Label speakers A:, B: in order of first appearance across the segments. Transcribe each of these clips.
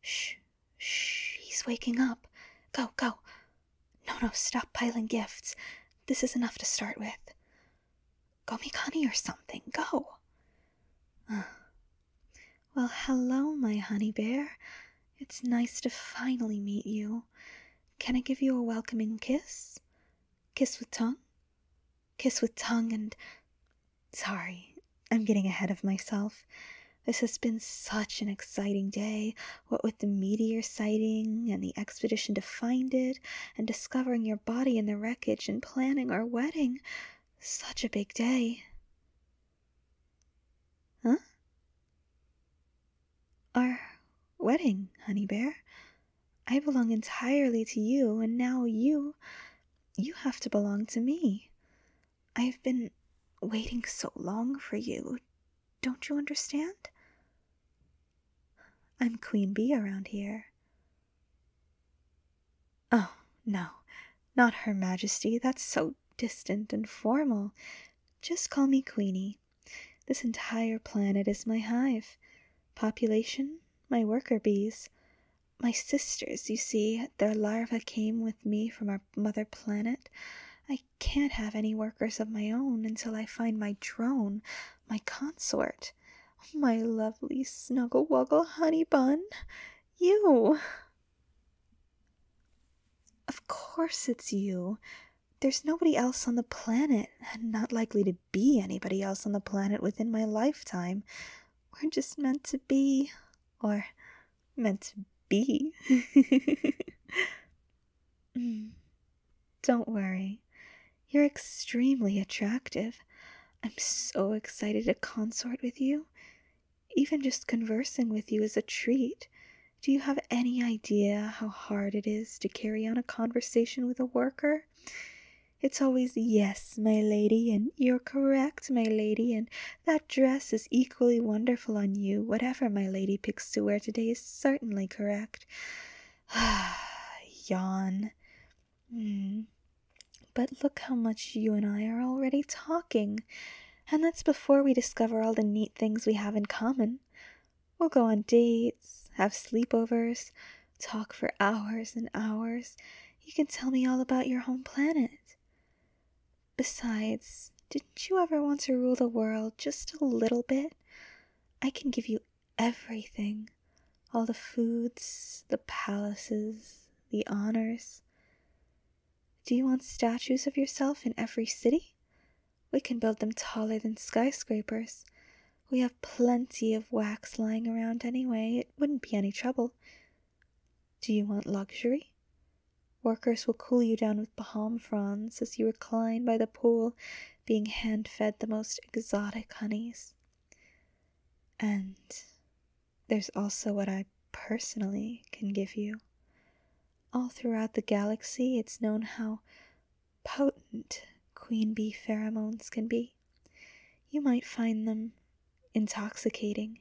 A: Shh, shh, he's waking up. Go, go. No, no, stop piling gifts. This is enough to start with. Go make honey or something. Go. well, hello, my honey bear. It's nice to finally meet you. Can I give you a welcoming kiss? Kiss with tongue? Kiss with tongue and Sorry, I'm getting ahead of myself. This has been such an exciting day, what with the meteor sighting and the expedition to find it, and discovering your body in the wreckage and planning our wedding. Such a big day. Huh? Our wedding, honey bear. I belong entirely to you, and now you. you have to belong to me. I've been waiting so long for you. Don't you understand? I'm Queen Bee around here. Oh, no, not Her Majesty. That's so distant and formal. Just call me Queenie. This entire planet is my hive. Population, my worker bees. My sisters, you see, their larva came with me from our mother planet. I can't have any workers of my own until I find my drone, my consort. My lovely snuggle wuggle honey bun. You! Of course it's you. There's nobody else on the planet, and not likely to be anybody else on the planet within my lifetime. We're just meant to be or meant to be. Don't worry, you're extremely attractive. I'm so excited to consort with you. Even just conversing with you is a treat. Do you have any idea how hard it is to carry on a conversation with a worker? It's always yes, my lady, and you're correct, my lady, and that dress is equally wonderful on you. Whatever my lady picks to wear today is certainly correct. Yawn. Mm. But look how much you and I are already talking. And that's before we discover all the neat things we have in common. We'll go on dates, have sleepovers, talk for hours and hours. You can tell me all about your home planet. Besides, didn't you ever want to rule the world just a little bit? I can give you everything all the foods, the palaces, the honors. Do you want statues of yourself in every city? We can build them taller than skyscrapers. We have plenty of wax lying around anyway, it wouldn't be any trouble. Do you want luxury? Workers will cool you down with palm fronds as you recline by the pool, being hand fed the most exotic honeys. And there's also what I personally can give you. All throughout the galaxy, it's known how potent queen bee pheromones can be. You might find them intoxicating.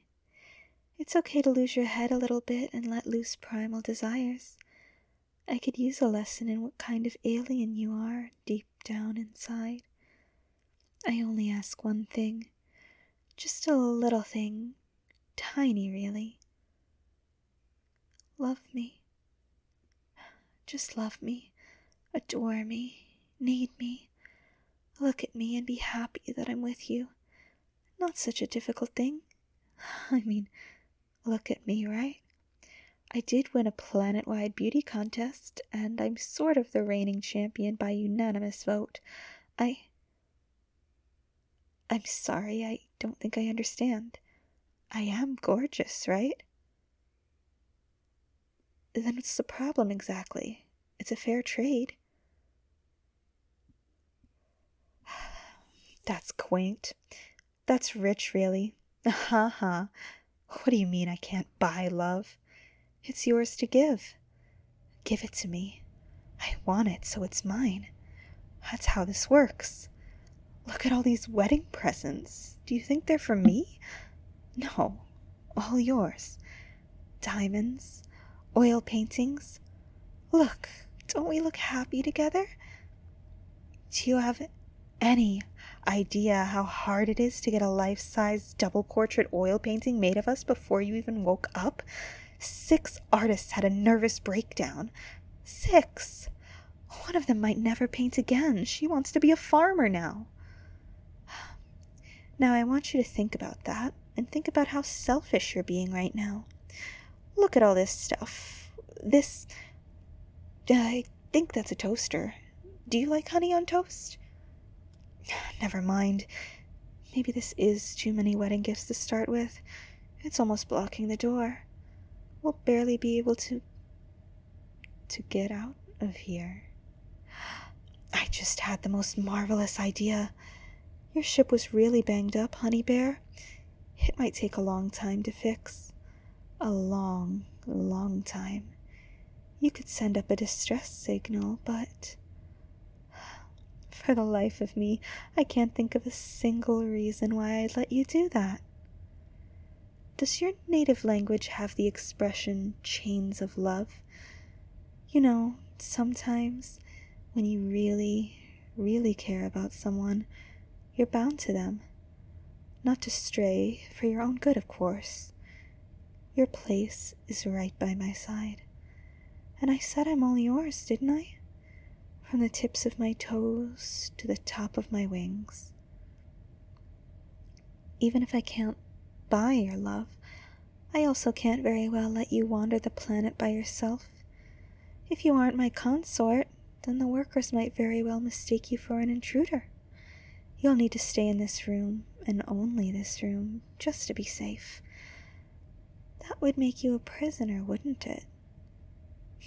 A: It's okay to lose your head a little bit and let loose primal desires. I could use a lesson in what kind of alien you are deep down inside. I only ask one thing. Just a little thing. Tiny, really. Love me. Just love me. Adore me. Need me. Look at me and be happy that I'm with you. Not such a difficult thing. I mean, look at me, right? I did win a planet wide beauty contest, and I'm sort of the reigning champion by unanimous vote. I. I'm sorry, I don't think I understand. I am gorgeous, right? Then what's the problem exactly? It's a fair trade. That's quaint. That's rich, really. Ha uh-huh. ha. What do you mean I can't buy love? It's yours to give. Give it to me. I want it, so it's mine. That's how this works. Look at all these wedding presents. Do you think they're for me? No, all yours diamonds, oil paintings. Look, don't we look happy together? Do you have any idea how hard it is to get a life size double portrait oil painting made of us before you even woke up? Six artists had a nervous breakdown. Six! One of them might never paint again. She wants to be a farmer now. Now, I want you to think about that and think about how selfish you're being right now. Look at all this stuff. This. I think that's a toaster. Do you like honey on toast? Never mind. Maybe this is too many wedding gifts to start with. It's almost blocking the door. We'll barely be able to. to get out of here. I just had the most marvelous idea. Your ship was really banged up, Honey Bear. It might take a long time to fix. A long, long time. You could send up a distress signal, but. For the life of me, I can't think of a single reason why I'd let you do that. Does your native language have the expression chains of love? You know, sometimes when you really, really care about someone, you're bound to them. Not to stray, for your own good, of course. Your place is right by my side. And I said I'm all yours, didn't I? From the tips of my toes to the top of my wings. Even if I can't buy your love, I also can't very well let you wander the planet by yourself. If you aren't my consort, then the workers might very well mistake you for an intruder. You'll need to stay in this room, and only this room, just to be safe. That would make you a prisoner, wouldn't it?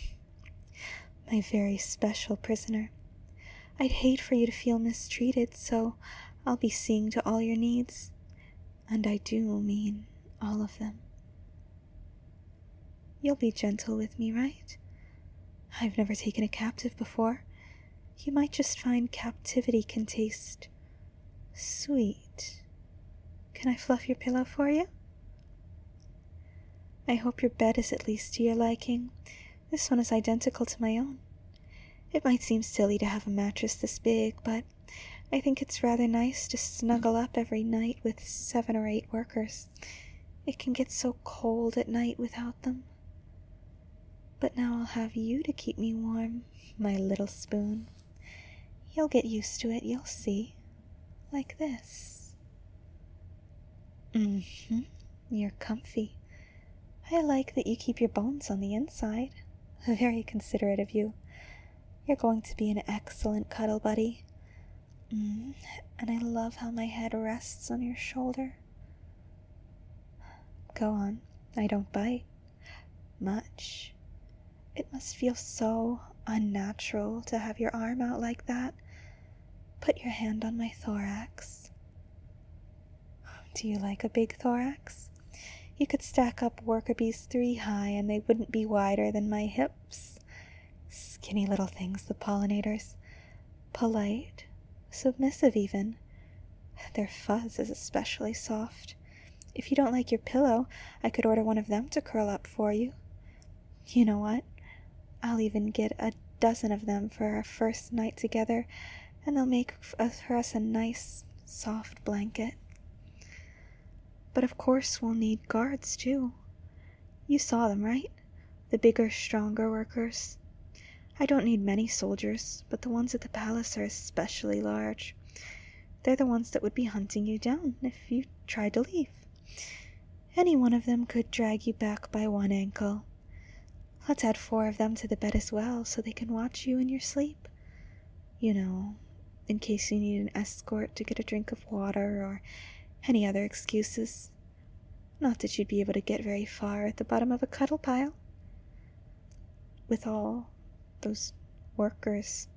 A: My very special prisoner. I'd hate for you to feel mistreated, so I'll be seeing to all your needs. And I do mean all of them. You'll be gentle with me, right? I've never taken a captive before. You might just find captivity can taste sweet. Can I fluff your pillow for you? I hope your bed is at least to your liking. This one is identical to my own. It might seem silly to have a mattress this big, but I think it's rather nice to snuggle up every night with seven or eight workers. It can get so cold at night without them. But now I'll have you to keep me warm, my little spoon. You'll get used to it, you'll see. Like this. Mm hmm. You're comfy. I like that you keep your bones on the inside. Very considerate of you. You're going to be an excellent cuddle buddy. Mm, and I love how my head rests on your shoulder. Go on, I don't bite. Much. It must feel so unnatural to have your arm out like that. Put your hand on my thorax. Do you like a big thorax? You could stack up worker bees three high and they wouldn't be wider than my hips. Skinny little things, the pollinators. Polite, submissive even. Their fuzz is especially soft. If you don't like your pillow, I could order one of them to curl up for you. You know what? I'll even get a dozen of them for our first night together and they'll make uh, for us a nice soft blanket. But of course, we'll need guards too. You saw them, right? The bigger, stronger workers. I don't need many soldiers, but the ones at the palace are especially large. They're the ones that would be hunting you down if you tried to leave. Any one of them could drag you back by one ankle. Let's add four of them to the bed as well so they can watch you in your sleep. You know, in case you need an escort to get a drink of water or any other excuses. Not that you'd be able to get very far at the bottom of a cuddle pile. With all those workers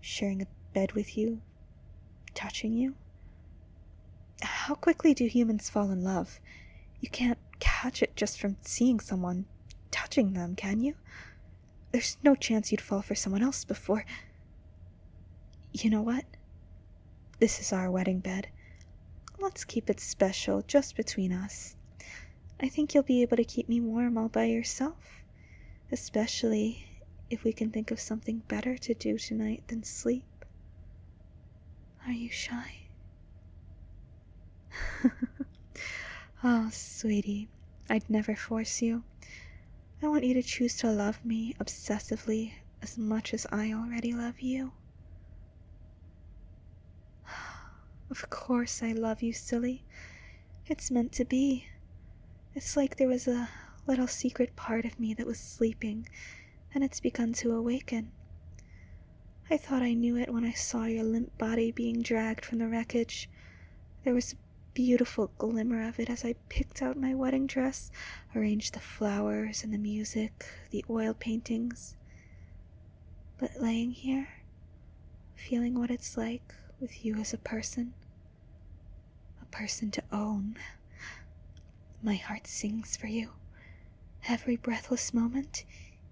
A: sharing a bed with you, touching you. How quickly do humans fall in love? You can't catch it just from seeing someone, touching them, can you? There's no chance you'd fall for someone else before. You know what? This is our wedding bed. Let's keep it special just between us. I think you'll be able to keep me warm all by yourself, especially if we can think of something better to do tonight than sleep. Are you shy? oh, sweetie, I'd never force you. I want you to choose to love me obsessively as much as I already love you. Of course, I love you, silly. It's meant to be. It's like there was a little secret part of me that was sleeping and it's begun to awaken. I thought I knew it when I saw your limp body being dragged from the wreckage. There was a beautiful glimmer of it as I picked out my wedding dress, arranged the flowers and the music, the oil paintings. But laying here, feeling what it's like with you as a person, a person to own, my heart sings for you. Every breathless moment,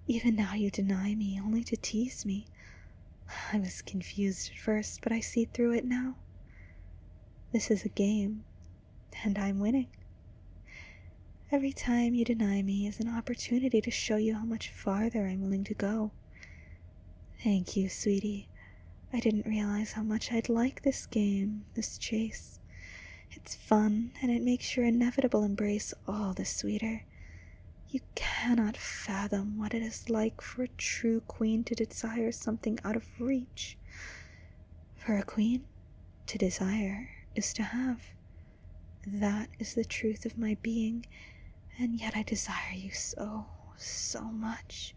A: even now you deny me only to tease me. I was confused at first, but I see through it now. This is a game, and I'm winning. Every time you deny me is an opportunity to show you how much farther I'm willing to go. Thank you, sweetie. I didn't realize how much I'd like this game, this chase. It's fun, and it makes your inevitable embrace all the sweeter. You cannot fathom what it is like for a true queen to desire something out of reach. For a queen, to desire is to have. That is the truth of my being, and yet I desire you so, so much.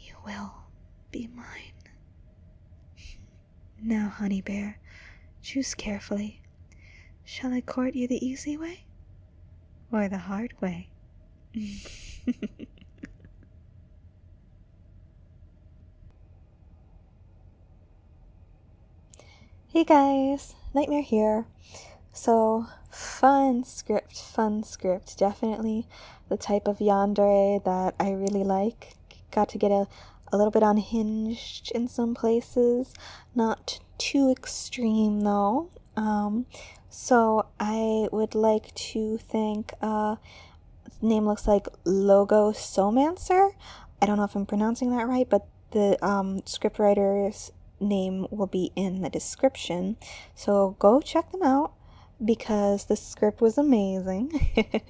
A: You will be mine. Now, honey bear, choose carefully. Shall I court you the easy way or the hard way? hey guys, Nightmare here. So, fun script, fun script. Definitely the type of yandere that I really like got to get a, a little bit unhinged in some places. Not too extreme though. Um, so I would like to thank, uh, name looks like Logo Somancer. I don't know if I'm pronouncing that right, but the um, scriptwriter's name will be in the description. So go check them out because the script was amazing.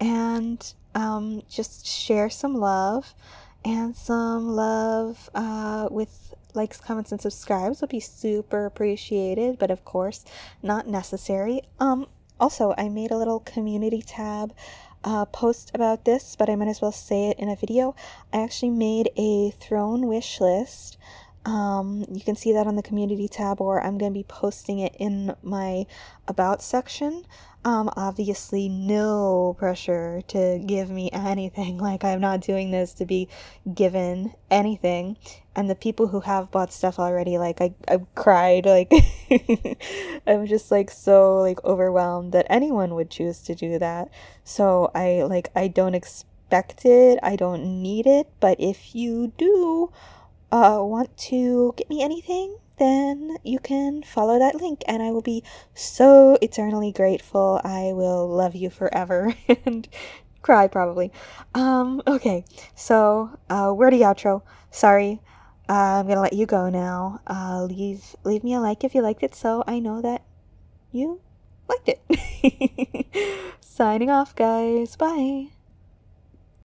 A: and um, just share some love and some love uh, with likes, comments, and subscribes would be super appreciated, but of course, not necessary. Um, also, I made a little community tab uh, post about this, but I might as well say it in a video. I actually made a throne wish list. Um, you can see that on the community tab, or I'm going to be posting it in my about section. Um, obviously, no pressure to give me anything. Like, I'm not doing this to be given anything. And the people who have bought stuff already, like, I, I cried. Like, I'm just, like, so, like, overwhelmed that anyone would choose to do that. So, I, like, I don't expect it. I don't need it. But if you do, uh, want to get me anything, then you can follow that link and I will be so eternally grateful. I will love you forever and cry probably. Um, okay, so uh, wordy outro. Sorry. I'm gonna let you go now. Uh, leave leave me a like if you liked it, so I know that you liked it. Signing off, guys. Bye.